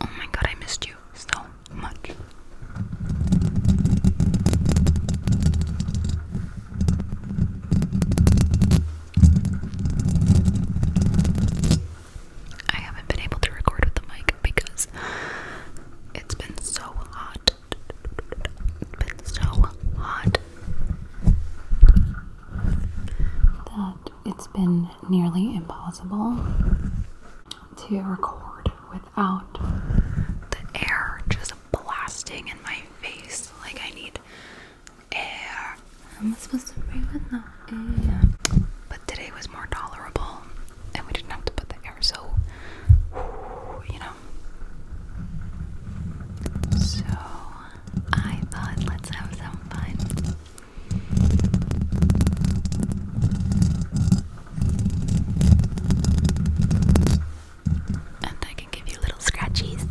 Oh my god, I missed you so much. I haven't been able to record with the mic because it's been so hot. It's been so hot it's been nearly impossible to record without the air just blasting in my face. Like, I need air. I'm supposed to breathe with no air. But today was more tolerable, and we didn't have to put the air so, you know. So, I thought let's have some fun. And I can give you little scratchies.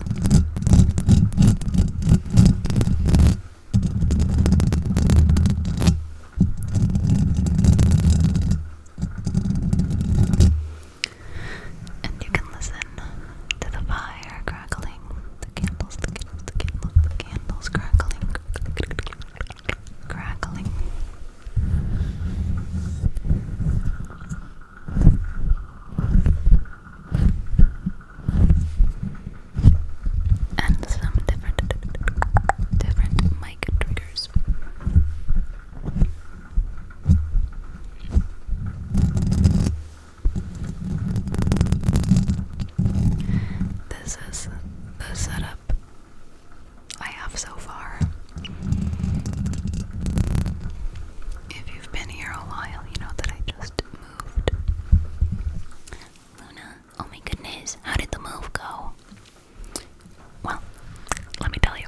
And you can listen to the fire crackling. The candles, the candles, candles crackling, crackling. And some different, different mic triggers. This is the setup I have so far. If you've been here a while, you know that I just moved. Luna, oh my goodness, how did the move go? Well, let me tell you.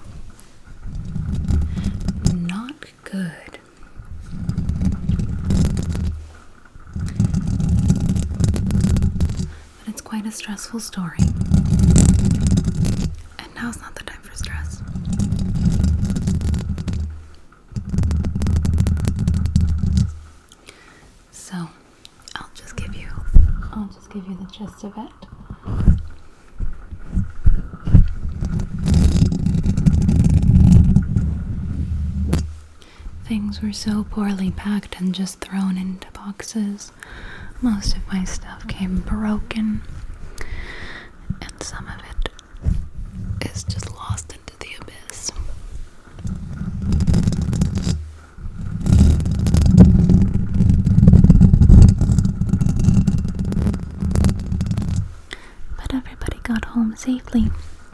Not good. But it's quite a stressful story. And now's not the time for stress. So, I'll just give you I'll just give you the gist of it. Things were so poorly packed and just thrown into boxes. Most of my stuff came broken, and some of it is just lost into the abyss. But everybody got home safely,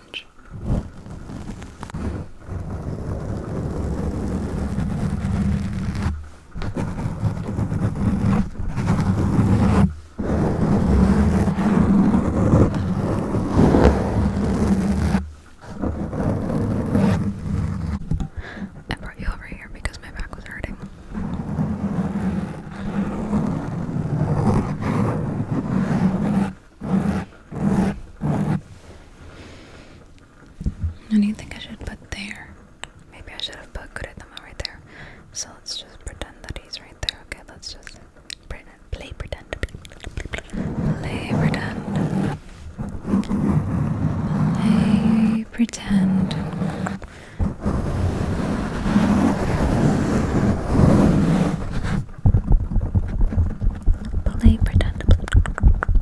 sponge. I brought you over here because my back was hurting. What do you think I should put there? Maybe I should have put Kuretama right there. So let's just pretend that he's right there. Okay, let's just pretend, play pretend. Play pretend. Play pretend. Play pretend.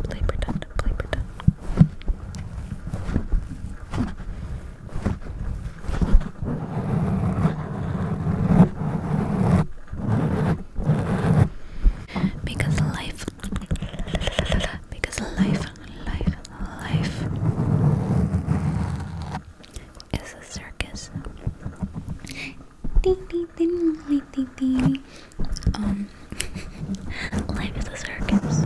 Play pretend. Play pretend. Because life, because life, life, life it's a circus. Um, life is a circus.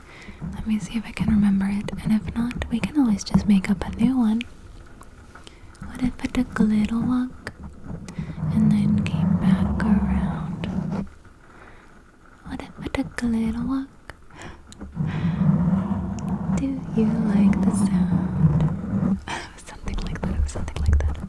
Let me see if I can remember it, and if not, we can always just make up a new one. What if I took a little walk and then came back around? What if I took a little walk? Do you like the sound? something like that, something like that.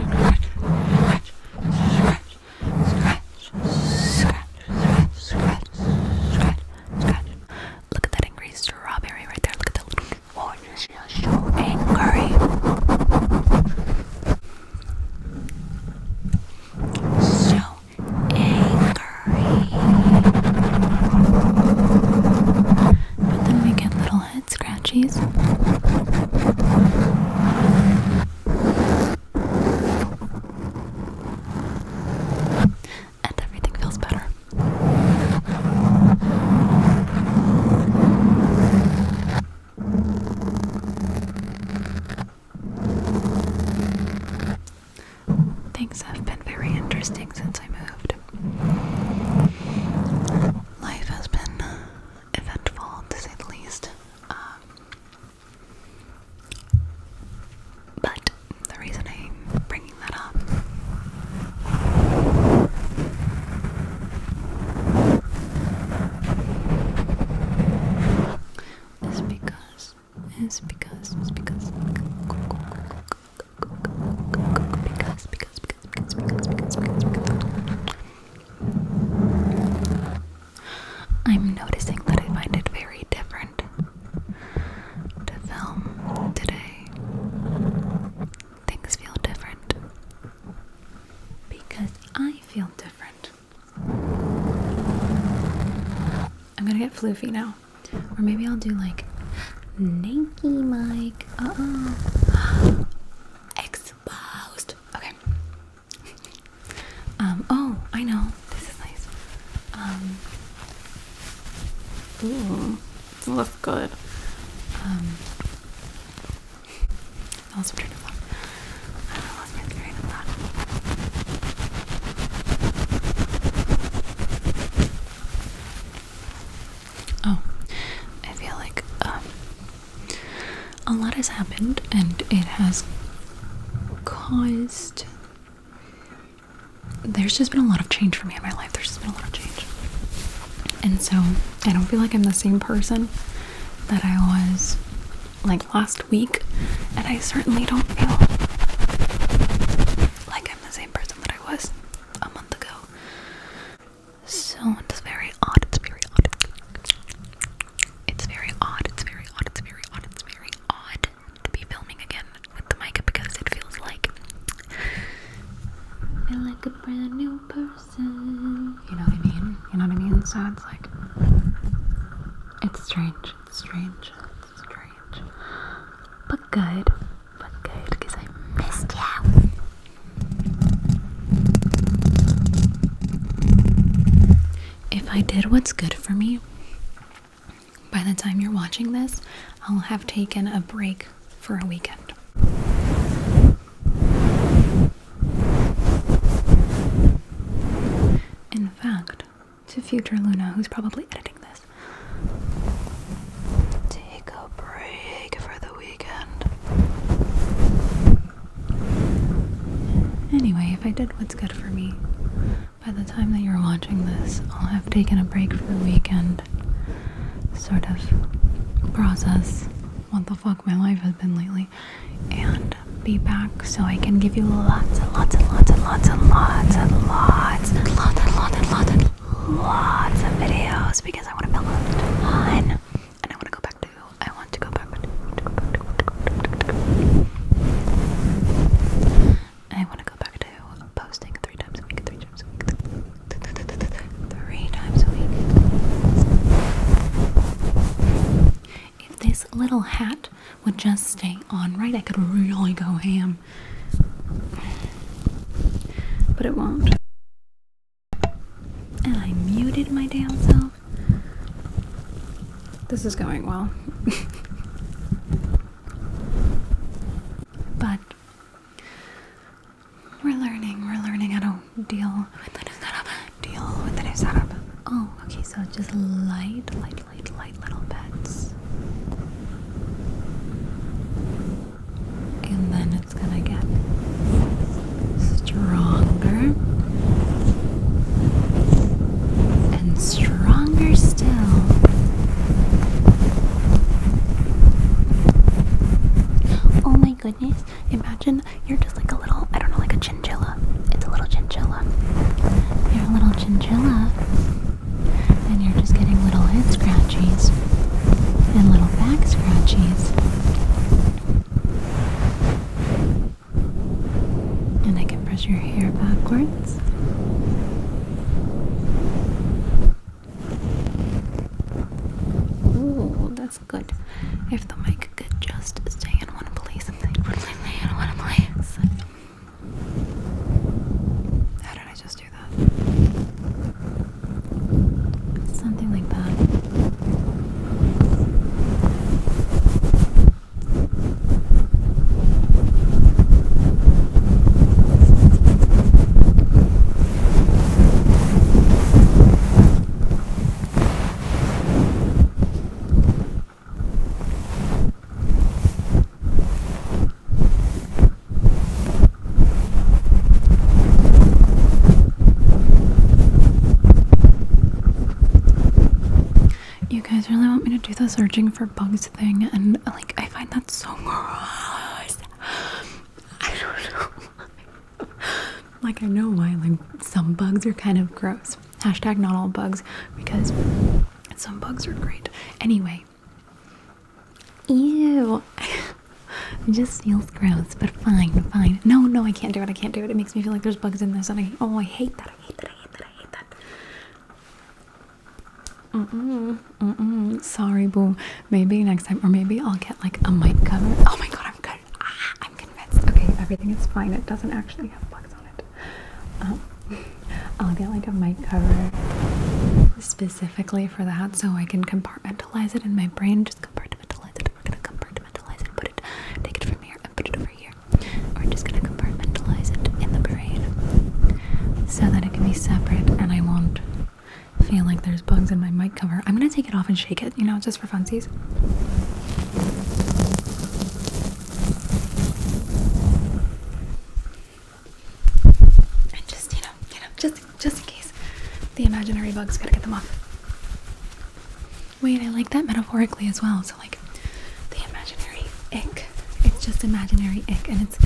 Look at that angry strawberry right there. Look at the little oh, orange. She's so angry. So angry. But then we get little head scratchies. And everything feels better. Things have been very interesting since I moved. Life has been eventful, to say the least. Um, but the reason I'm bringing that up is because, is because, is because, because, because, because, because, because, because, I'm noticing that I find it very different to film today. Things feel different because I feel different. I'm gonna get floofy now, or maybe I'll do like. Stinky Mike. Uh oh. Exposed. Okay. Um, oh, I know. This is nice. Um, ooh, looks good. Um, I Oh, I feel like um, a lot has happened and it has caused. There's just been a lot of change for me in my life. There's just been a lot of change. And so I don't feel like I'm the same person that I was like last week. And I certainly don't feel like I'm the same person that I was a month ago so it's very odd, it's very odd. It's very odd, it's very odd, it's very odd, it's very odd to be filming again with the mic because it feels like like a brand new person. You know what I mean? You know what I mean? So it's like it's strange, it's strange, it's strange. But good but good because I missed you. If I did what's good for me, by the time you're watching this, I'll have taken a break for a weekend. In fact, to future Luna, who's probably editing this this. Take a break for the weekend. Anyway, if I did what's good for me, by the time that you're watching this, I'll have taken a break for the weekend. Sort of process what the fuck my life has been lately and be back so I can give you lots and lots and lots and lots and lots and lots and lots and lots and lots and lots of videos because I want to build a ton. And I want to go back to. I want to go back to. I want to go back to posting three times a week. Three times a week. Three times a week. If this little hat would just stay on right, I could really go ham. But it won't. And I muted my damn self. This is going well. but we're learning, we're learning how to deal with the new setup. Deal with the new setup. Oh, okay, so just light, light, light, little pets. And then it's gonna get stronger and stronger still. Oh my goodness, imagine you're just like a little, I don't know, like a chinchilla. It's a little chinchilla. You're a little chinchilla and you're just getting little head scratchies and little back scratchies. And I can brush your hair backwards. Ooh, that's good. If the mic could just stay in one place and stay in one place. How did I just do that? Something like that. You guys really want me to do this searching for bugs thing, and like I find that so gross. I don't know. like I know why. Like some bugs are kind of gross. Hashtag not all bugs because some bugs are great. Anyway, Ew. it just feels gross, but fine, fine. No, no, I can't do it. I can't do it. It makes me feel like there's bugs in there. and I oh, I hate that. I hate that. I hate that. I hate that. Mm mm mm mm. Sorry, boo. Maybe next time, or maybe I'll get like a mic cover. Oh my god, I'm good. Ah, I'm convinced. Okay, everything is fine. It doesn't actually have bugs on it. Um, I'll get like a mic cover specifically for that so I can compartmentalize it in my brain. Just compartmentalize it. We're gonna compartmentalize it put it, take it from here and put it over here. we just gonna compartmentalize it in the brain so that it can be separate and I won't feel like there's bugs in my mic cover. I'm gonna take it off and shake it, you know, just for funsies. And just, you know, you know, just just in case the imaginary bugs gotta get them off. Wait, I like that metaphorically as well. So like the imaginary ick. It's just imaginary ick and it's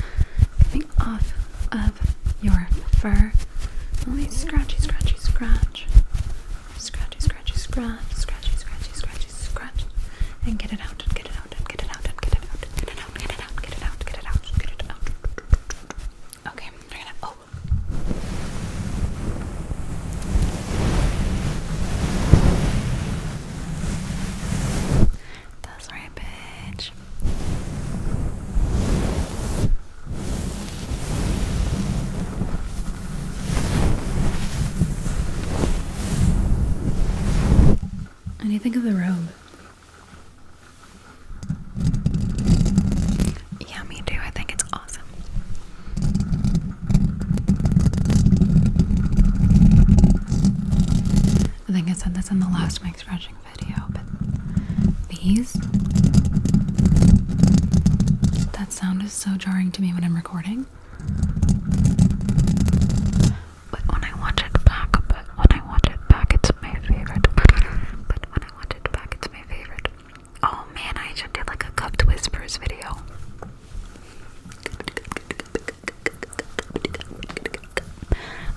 coming off of your fur. Let me scratchy, scratchy, scratch. Scratchy, scratchy, scratch, scratchy, scratchy, scratchy, scratch. And get it out get it out and get it out and get it out, get it out, get it out, get it out, get it out, get it out. Okay, we're gonna oh that's right, bitch. And you think of the robe. Yeah, me too. I think it's awesome. I think I said this in the last mix scratching video, but these. That sound is so jarring to me when I'm recording. But when I watch it back, but when I watch it back, it's my favorite. But when I watch it back, it's my favorite. Oh man, I should do like a cupped whispers video.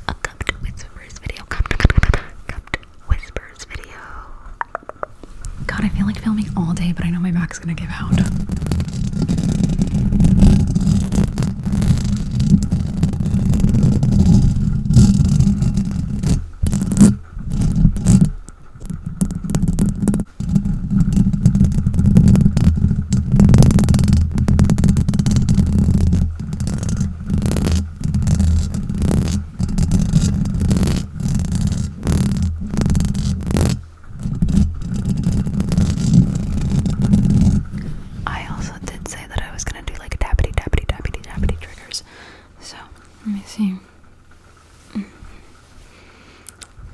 A cupped whispers video. Cupped, whispers video. God, I feel like filming all day, but I know my back back's gonna give out. I also did say that I was gonna do like a tappity tappity tappity tappity triggers. So let me see.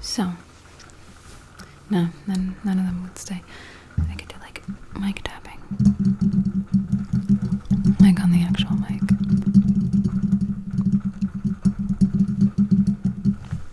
So no, then none of them would stay. I could do like mic tapping, like on the actual mic.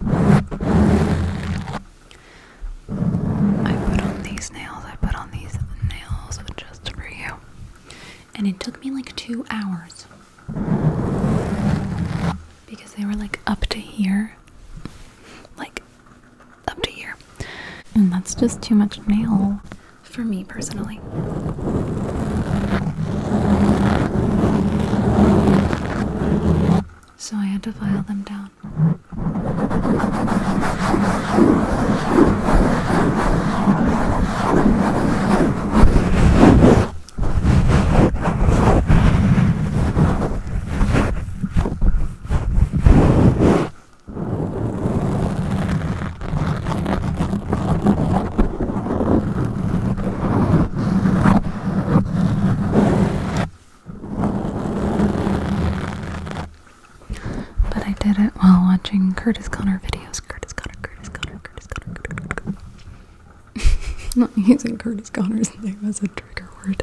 I put on these nails, I put on these nails just for you. And it took me like two hours because they were like up to here. Like up to here. And that's just too much nail for me personally so I had to file them down. But I did it while watching Curtis Connor videos. Curtis Connor, Curtis Connor, Curtis Connor, Not using Curtis Connor's name as a trigger word.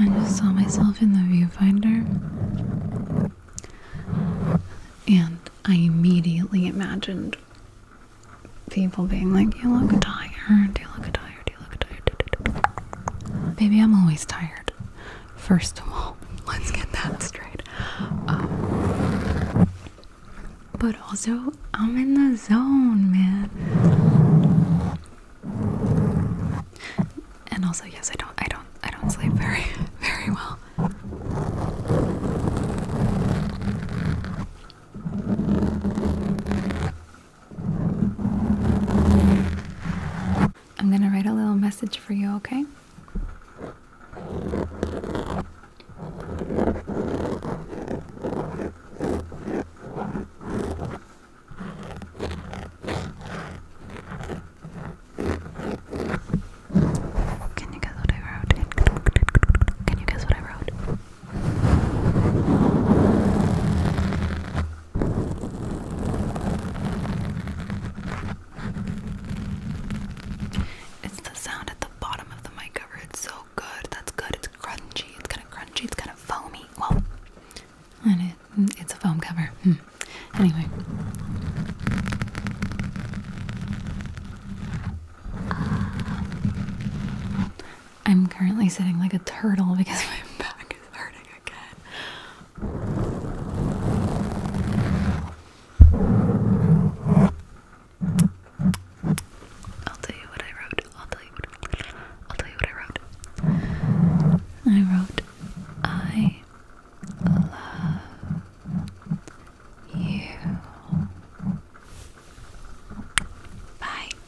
I just saw myself in the viewfinder and I immediately imagined people being like, You look tired, you look tired, Baby, I'm always tired. First of all, let's get that straight. Um, but also, I'm in the zone, man. And also, yes, I don't, I don't, I don't sleep very, very well. I'm going to write a little message for you, okay? Can you guess what I wrote? Can you guess what I wrote? It's the sound at the bottom of the mic cover. It's so good. That's good. It's crunchy. It's kind of crunchy. It's kind of foamy. Well, and it, it's a foam cover. Hmm. Anyway. I'm currently sitting like a turtle because my back is hurting again. I'll tell you what I wrote. I'll tell you what i wrote. I wrote I love you. Bye.